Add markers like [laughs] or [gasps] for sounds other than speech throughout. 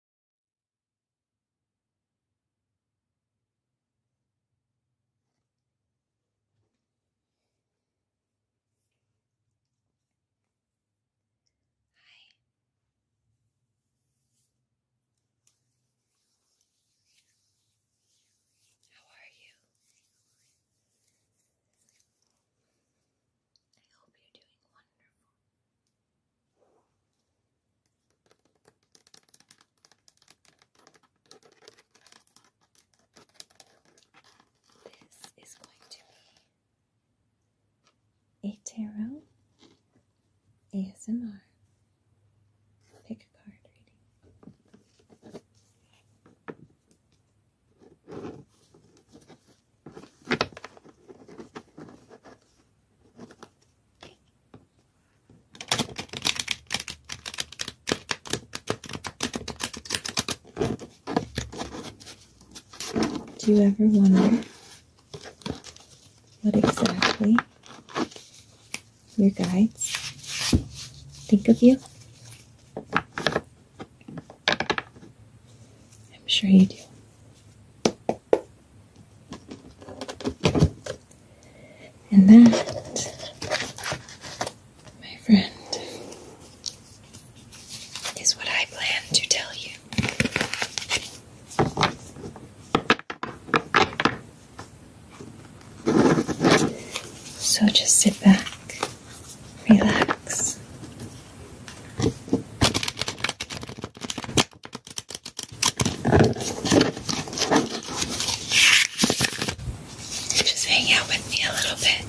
Hi. How are you? I hope you're doing wonderful. This is going to be a tarot ASMR pick a card reading. Do you ever wonder what exactly your guides think of you? I'm sure you do. And that, my friend, is what I plan to tell you. So just sit back, relax. Just hang out with me a little bit.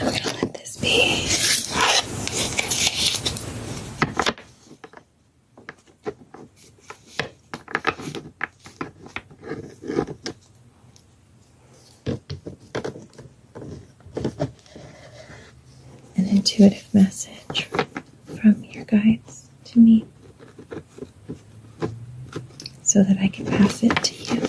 I'm gonna let this be. An intuitive message from your guides to me so that I can pass it to you.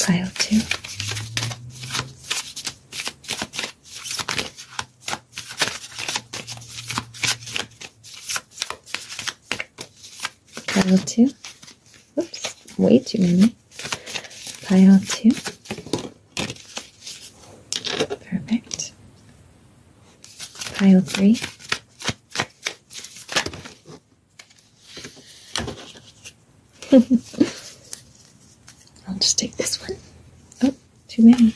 Pile 2. Pile 2. Oops, way too many. Pile 2. Perfect. Pile 3. [laughs] I'll just take this one. Oh, too many.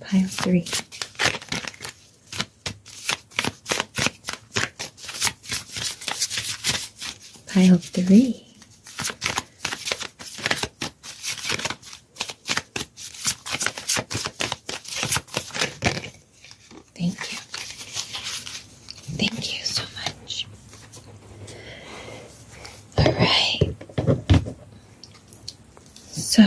Pile three. Pile three. Thank you. Thank you so much. All right. So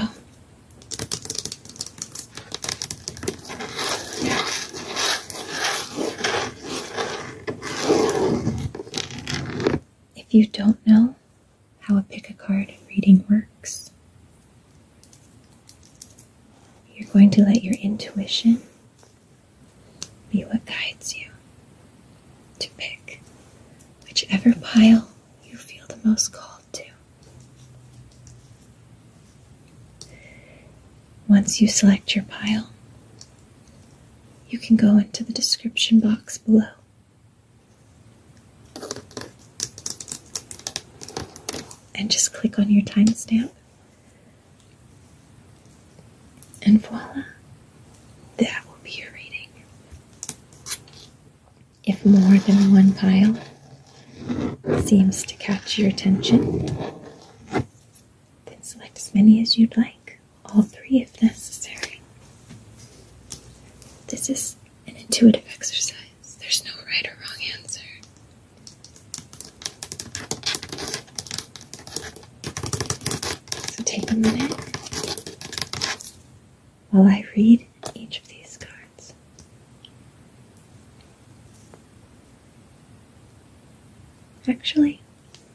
if you don't know, how a pick a card reading works. You're going to let your intuition be what guides you to pick whichever pile you feel the most called to. Once you select your pile, you can go into the description box below and just click on your timestamp. And voila, that will be your reading. If more than one pile seems to catch your attention, then select as many as you'd like, all three if necessary. This is an intuitive exercise. There's no right or wrong answer. So take a minute while I read each of these cards. Actually,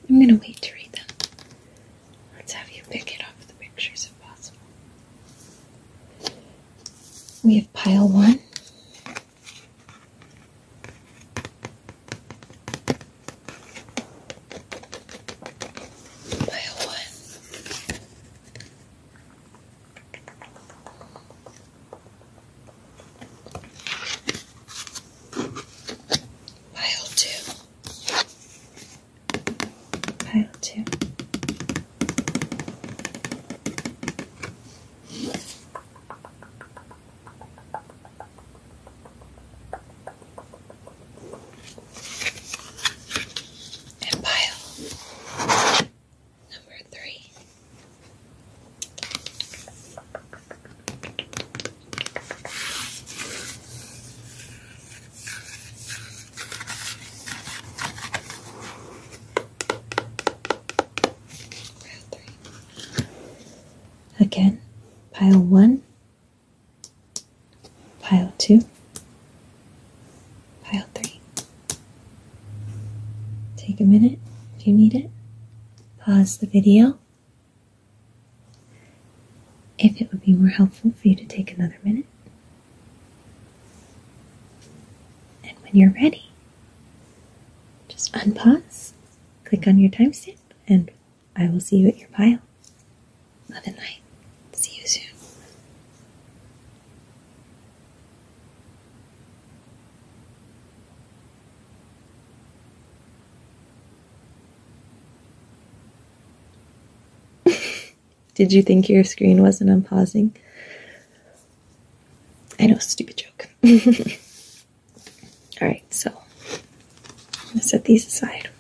I'm going to wait to read them Let's have you pick it off the pictures if possible. We have pile one. Pile one. Pile two pile two. And pile number three. Again, pile one, pile two, pile three. Take a minute if you need it. Pause the video if it would be more helpful for you to take another minute. And when you're ready, just unpause, click on your timestamp, and I will see you at your pile. Love and light. See you soon. [laughs] Did you think your screen wasn't unpausing? I know, stupid joke. [laughs] All right, so I'm gonna set these aside.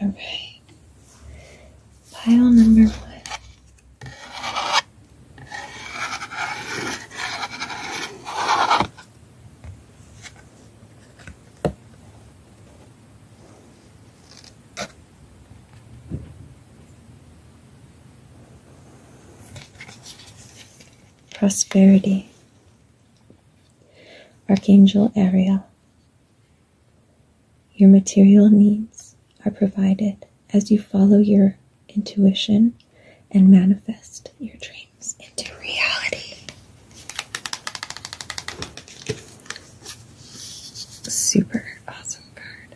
All right. Pile number one. Prosperity. Archangel Ariel, your material needs are provided as you follow your intuition and manifest your dreams into reality. Super awesome card.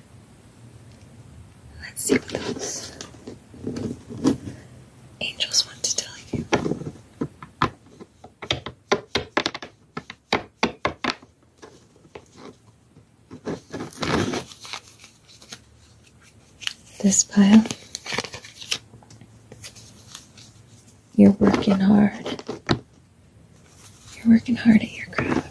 Let's see what else angels want to tell you. This pile, you're working hard. You're working hard at your craft.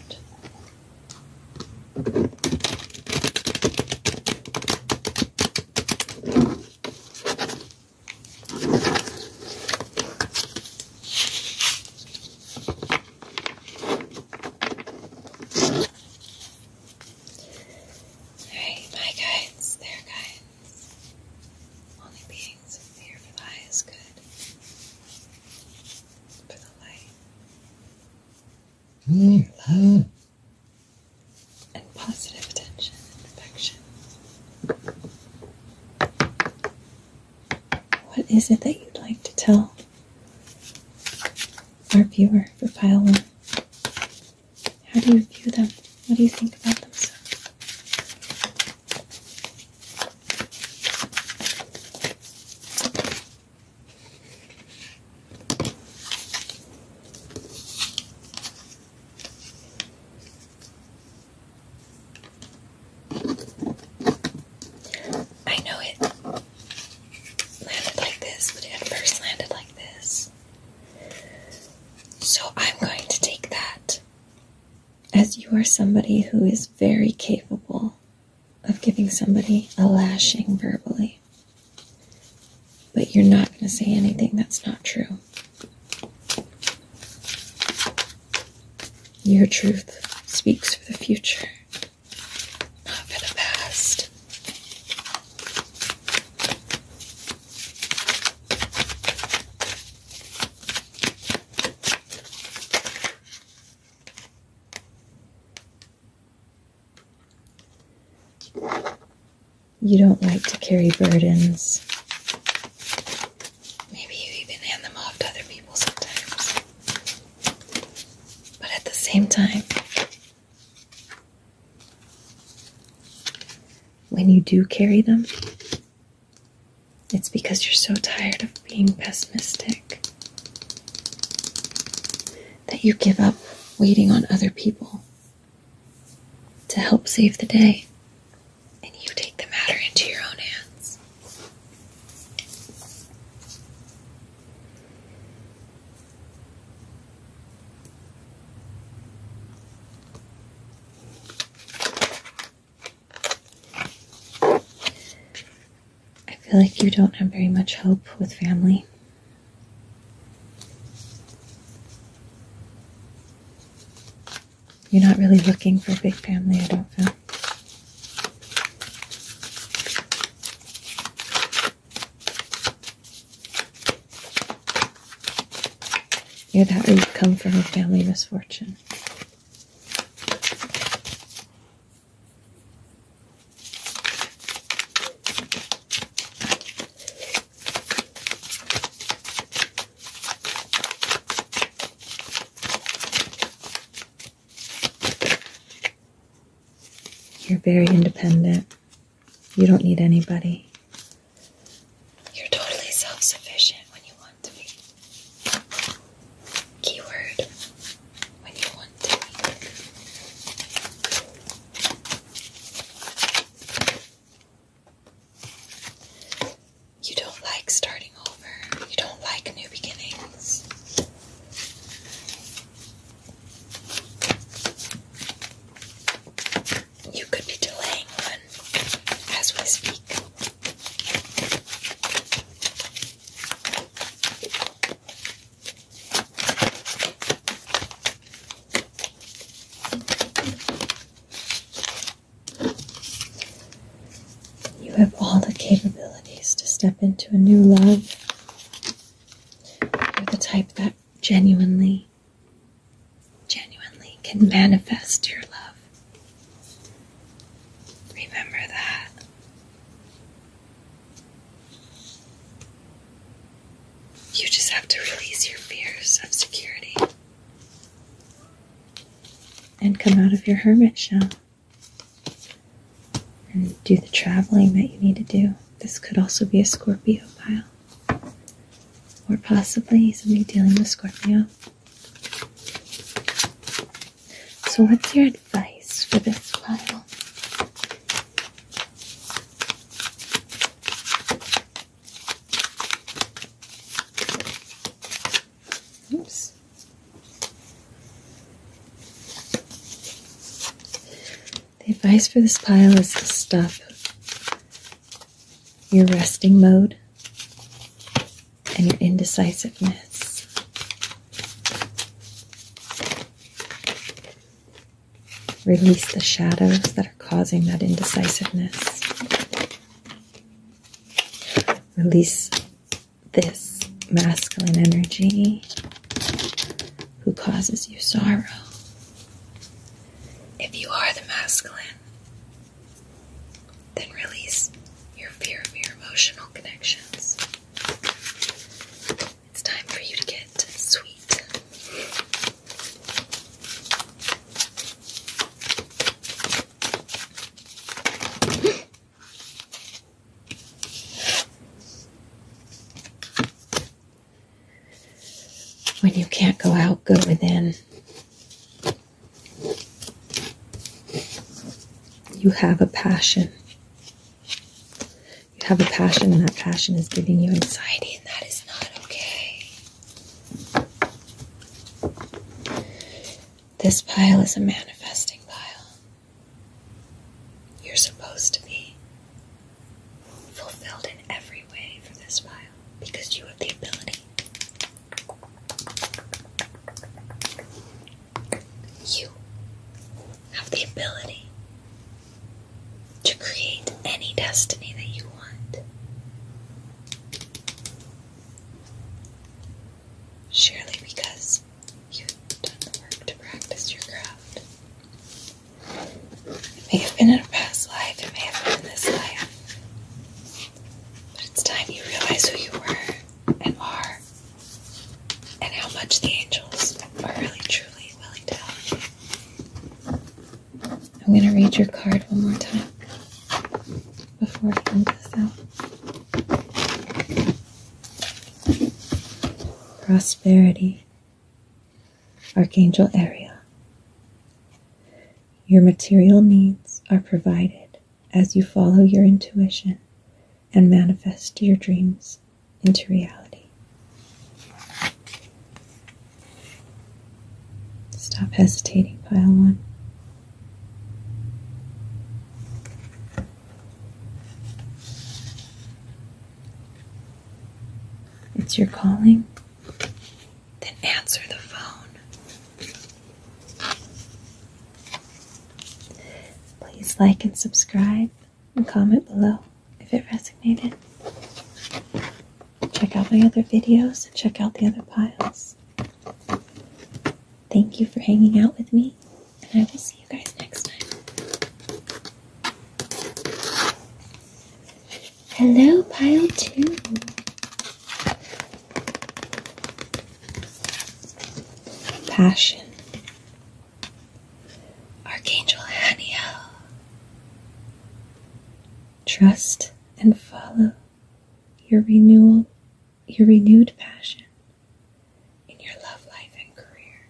Alright, bye guys. There, guys. Only beings with for the is good. For the light. love. And positive attention affection. What is it that you'd like to tell our viewer for pile one? How do you view them? What do you think about them? I know it landed like this, but it first landed like this. So I'm going to take that as you are somebody who is very capable of giving somebody a lashing verbally. But you're not going to say anything that's not true. Your truth speaks for the future, not for the past. You don't like to carry burdens. Maybe you even hand them off to other people sometimes. But at the same time, when you do carry them, it's because you're so tired of being pessimistic that you give up waiting on other people to help save the day and you take the matter into your own hands. I feel like you don't have very much hope with family. You're not really looking for a big family, I don't feel. You're that where you come from a family misfortune. You're very independent. You don't need anybody. You're totally self sufficient when you want to be. Keyword when you want to be. You don't like starting over. You don't like new beginnings. You could be delaying one as we speak. You have all the capabilities to step into a new love. You're the type that genuinely, genuinely can manifest your love. Remember that. You just have to release your fears of security and come out of your hermit shell and do the traveling that you need to do. This could also be a Scorpio pile, or possibly somebody dealing with Scorpio. So, what's your advice for this pile? Oops. The advice for this pile is to stop your resting mode and your indecisiveness. Release the shadows that are causing that indecisiveness. Release this masculine energy who causes you sorrow. If you are the masculine, then release your fear of your emotional connections. It's time for you to get sweet. When you can't go out, go within. You have a passion. You have a passion, and that passion is giving you anxiety, and that is not okay. This pile is a manifesting pile. You're supposed to be fulfilled in every way for this pile because you have the ability. You have the ability to create any destiny that you want. Surely because you've done the work to practice your craft. It may have been in a past life, it may have been in this life. But it's time you realize who you were and are, and how much the angels are really truly willing to help you. I'm going to read your card one more time before I print this out. Prosperity, Archangel Area. Your material needs are provided as you follow your intuition and manifest your dreams into reality. Stop hesitating, pile one. It's your calling. Then answer the phone. Please like and subscribe and comment below if it resonated. Check out my other videos and check out the other piles. Thank you for hanging out with me, and I will see you guys next time. Hello, pile two. Passion. Archangel Haniel. Trust and follow your renewal, your renewed passion in your love life and career.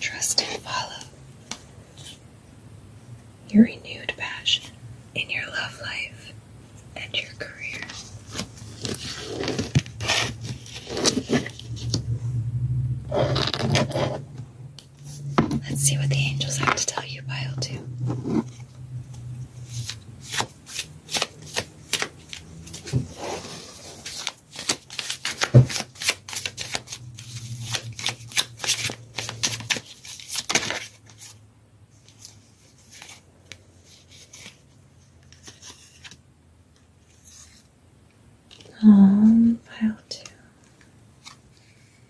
Trust and follow your renewed passion in your love life and your career. Let's see what the angels have to tell you, pile two. Palm um, pile two.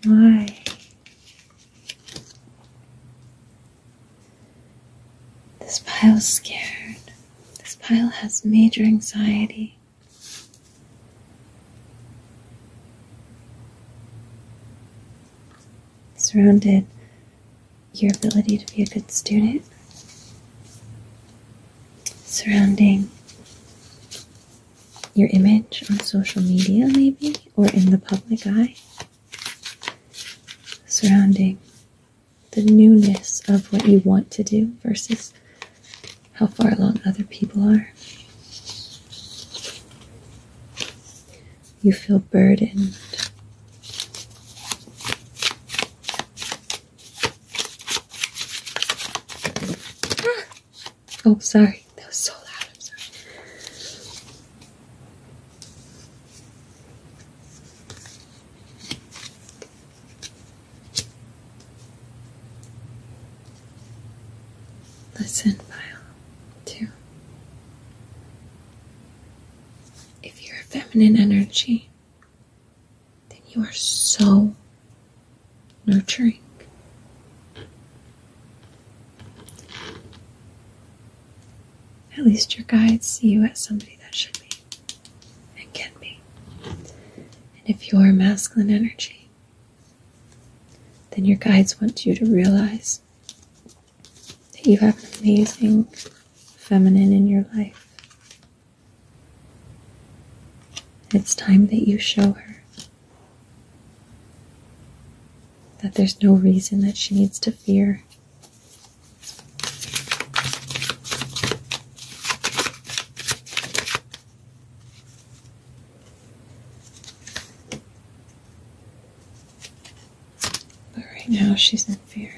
Why? This pile's scared. This pile has major anxiety. Surrounded your ability to be a good student, surrounding your image on social media, maybe, or in the public eye, surrounding the newness of what you want to do versus how far along other people are. You feel burdened [gasps] Oh, sorry. That was so loud. I'm sorry. Listen, file two if you're a feminine energy, then you are so nurturing. At least your guides see you as somebody that should be and can be. And if you're a masculine energy, then your guides want you to realize that you have an amazing feminine in your life. It's time that you show her that there's no reason that she needs to fear. But right now she's in fear.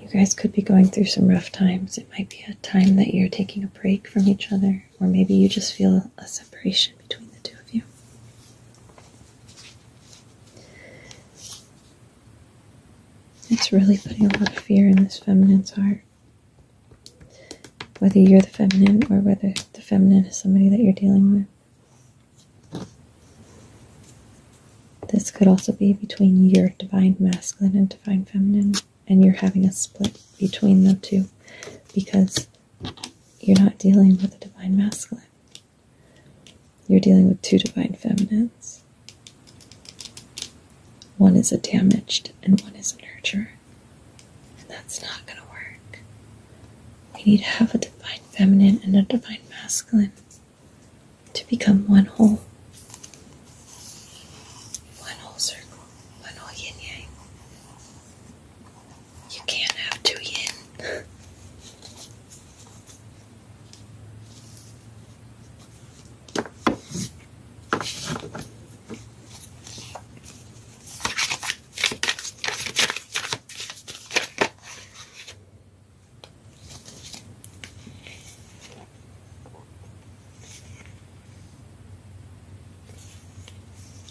You guys could be going through some rough times. It might be a time that you're taking a break from each other, or maybe you just feel a separation between the two of you. It's really putting a lot of fear in this feminine's heart. Whether you're the feminine or whether the feminine is somebody that you're dealing with. This could also be between your divine masculine and divine feminine, and you're having a split between the two because you're not dealing with the divine masculine. You're dealing with two divine feminines. One is a damaged and one is a nurturer. that's not going to work. We need to have a divine feminine and a divine masculine to become one whole. One whole circle, one whole yin yang. You can't have two yin.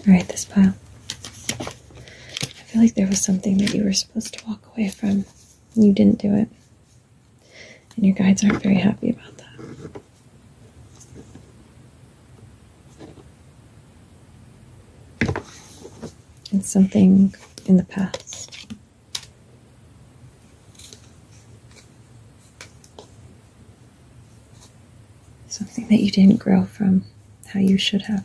All right, this pile. I feel like there was something that you were supposed to walk away from. And you didn't do it. And your guides aren't very happy about that. It's something in the past. Something that you didn't grow from how you should have.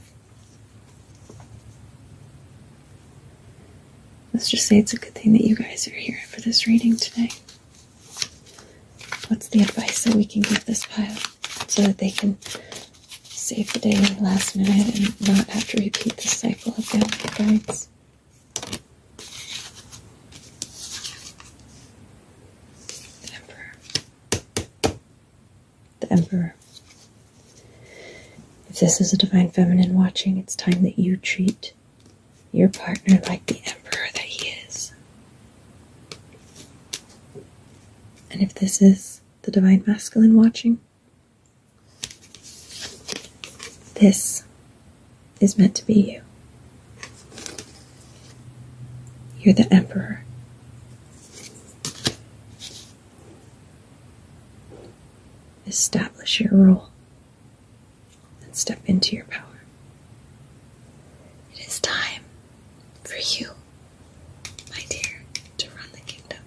Let's just say it's a good thing that you guys are here for this reading today. What's the advice that we can give this pile so that they can save the day in the last minute and not have to repeat the cycle of downward The Emperor the Emperor. If this is a divine feminine watching, it's time that you treat your partner like the Emperor that he is. And if this is the divine masculine watching, this is meant to be you. You're the Emperor. Establish your role and step into your power. It is time for you, my dear, to run the kingdom.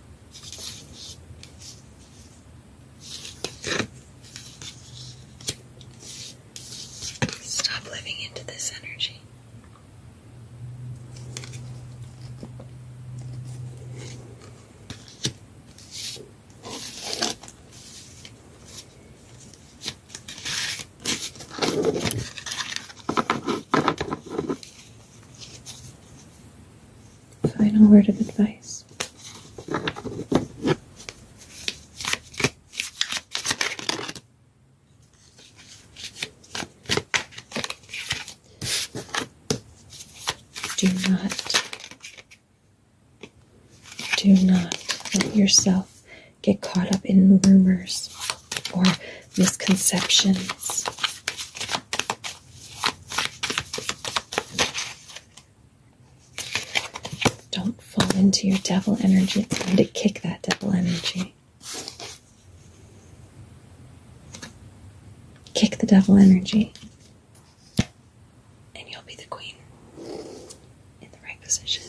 Stop living into this energy. Final word of advice. Do not, do not let yourself get caught up in rumors or misconceptions. Don't fall into your devil energy. It's time to kick that devil energy. Kick the devil energy, and you'll be the queen in the right position.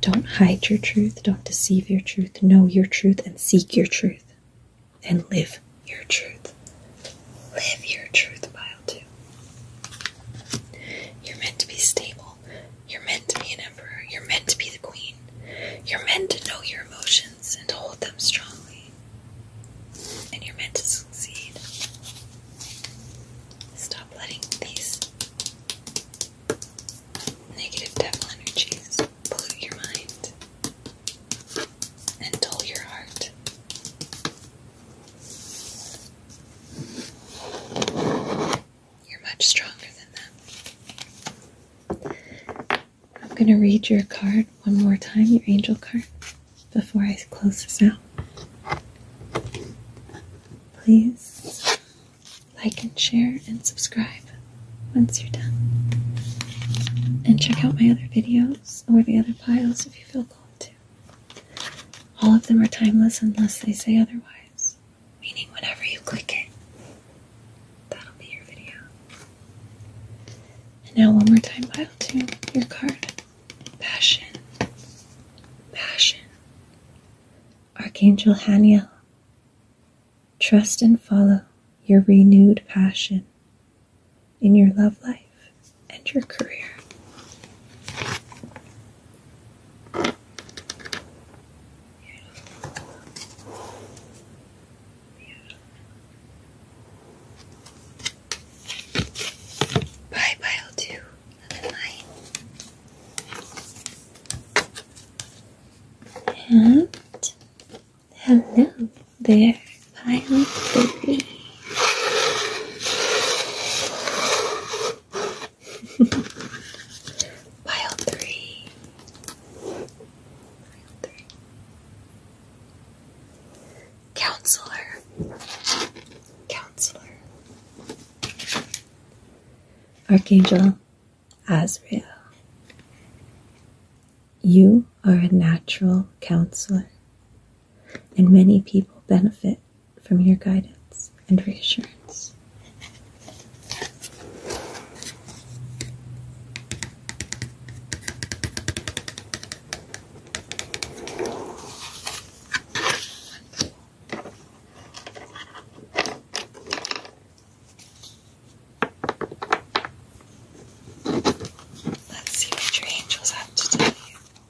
Don't hide your truth, don't deceive your truth, know your truth, and seek your truth, and live your truth. Live your truth pile too. You're meant to be stable. You're meant to be an emperor. You're meant to be the queen. You're meant to know your emotions and hold them strongly. And you're meant to succeed. Stop letting these negative devil energies pollute your mind and dull your heart. You're much stronger than that. I'm going to read your card one more time, your angel card, before I close this out. Please like and share and subscribe once you're done. And check out my other videos or the other piles if you feel called to. All of them are timeless unless they say otherwise, meaning whenever you click it, that'll be your video. And now, one more time, pile two, your card. Passion. Passion. Archangel Haniel. Trust and follow your renewed passion in your love life and your career. Bye bye, I'll night. And hello there. Pile three. Pile three. Counselor. Counselor. Archangel Azrael. You are a natural counselor and many people benefit from your guidance and reassurance. Let's see what your angels have to tell you.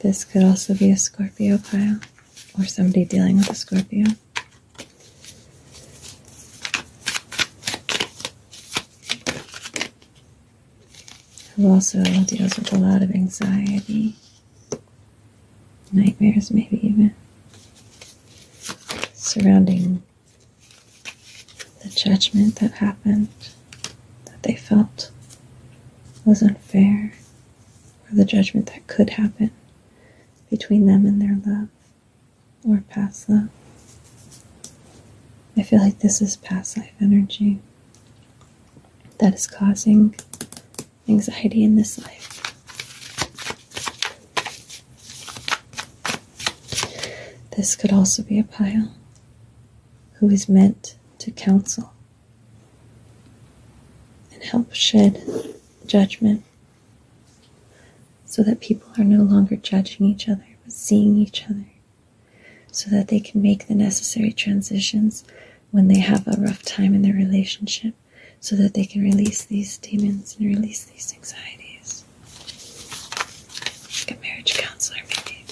This could also be a Scorpio pile or somebody dealing with a Scorpio. Who also deals with a lot of anxiety, nightmares, maybe even surrounding the judgment that happened that they felt was unfair, or the judgment that could happen between them and their love or past love. I feel like this is past life energy that is causing anxiety in this life. This could also be a pile who is meant to counsel and help shed judgment so that people are no longer judging each other but seeing each other so that they can make the necessary transitions when they have a rough time in their relationship so that they can release these demons and release these anxieties a marriage counselor, maybe.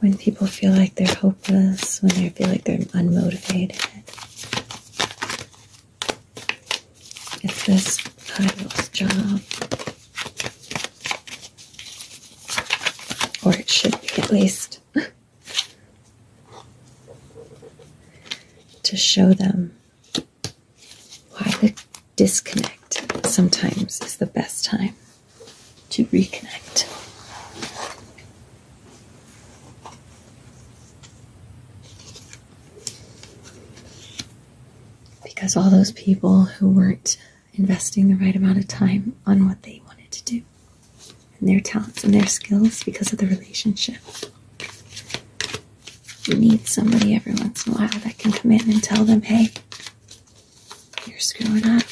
When people feel like they're hopeless, when they feel like they're unmotivated, it's this idol's job. Or it should be, at least. [laughs] to show them why the disconnect sometimes is the best time to reconnect. Because all those people who weren't investing the right amount of time on what they wanted to do and their talents and their skills because of the relationship. You need somebody every once in a while that can come in and tell them, hey, you're screwing up.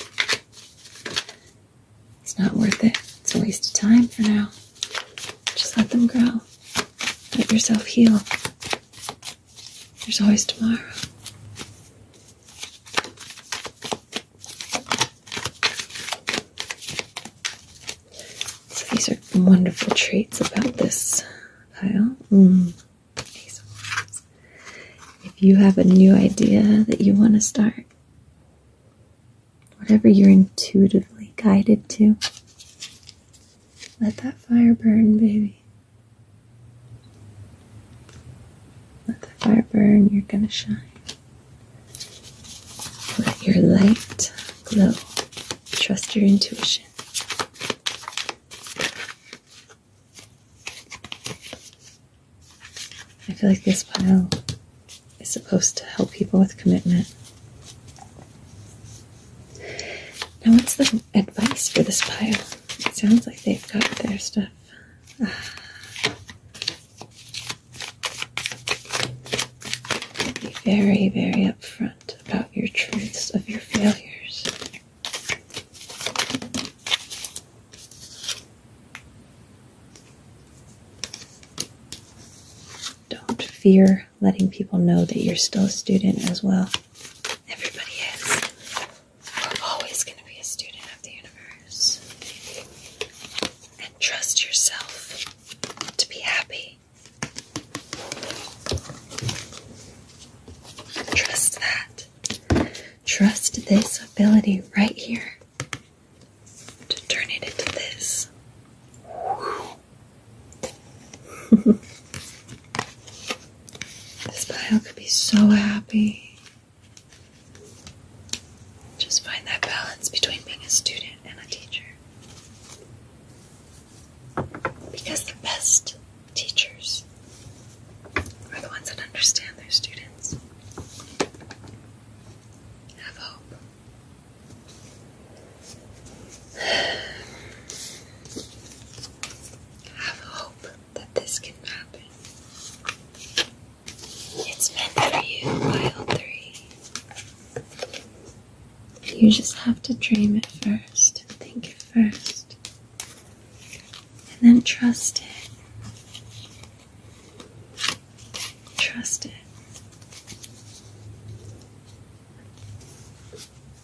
It's not worth it. It's a waste of time for now. Just let them grow. Let yourself heal. There's always tomorrow. So these are wonderful traits about this pile. Hmm. If you have a new idea that you want to start, whatever you're intuitively guided to, let that fire burn, baby. Let the fire burn, you're going to shine. Let your light glow. Trust your intuition. I feel like this pile is supposed to help people with commitment. Now, what's the advice for this pile? It sounds like they've got their stuff be very, very upfront about your truths of your failures. Don't fear letting people know that you're still a student as well. Everybody is you are always going to be a student of the universe. And trust yourself to be happy. Trust that. Trust this ability right here to turn it into this. [laughs] this bio could be so happy. Just find that balance between being a student and a teacher. Because the best teachers are the ones that understand their students, have hope. [sighs] Have hope that this can happen. It's meant for you, Wild 3. You just have to dream it first, think it first, and then trust it. Trust it.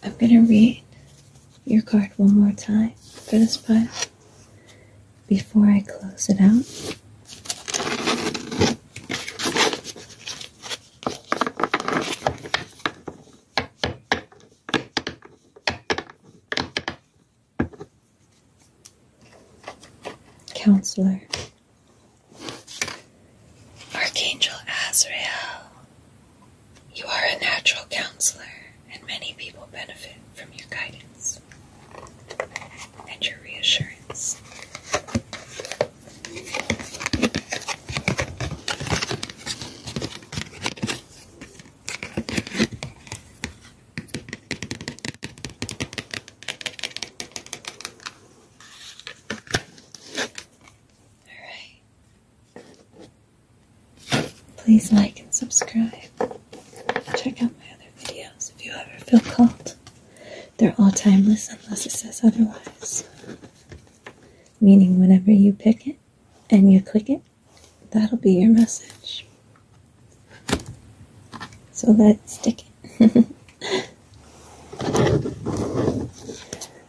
I'm going to read your card one more time for this part before I close it out. Counselor. Archangel Azrael, you are a natural counselor and many people benefit from your guidance and your reassurance. All right. Please like and subscribe. Check out my other videos if you ever feel called. They're all timeless unless it says otherwise. Meaning, whenever you pick it and you click it, that'll be your message. So let's stick it. [laughs]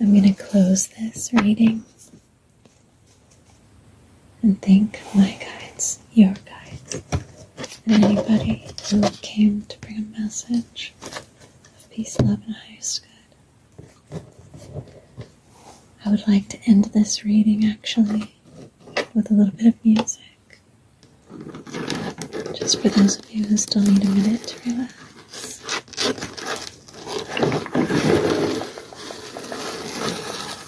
I'm going to close this reading and thank my guides, your guides, and anybody who came to bring a message of peace, love, and highest good. I would like to end this reading actually with a little bit of music. Just for those of you who still need a minute to relax.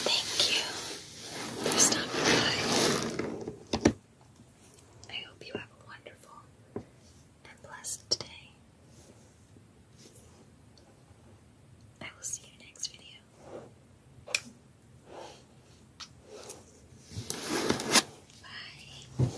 Thank you for stopping by. I hope you have a wonderful and blessed day. I will see you next video. Bye.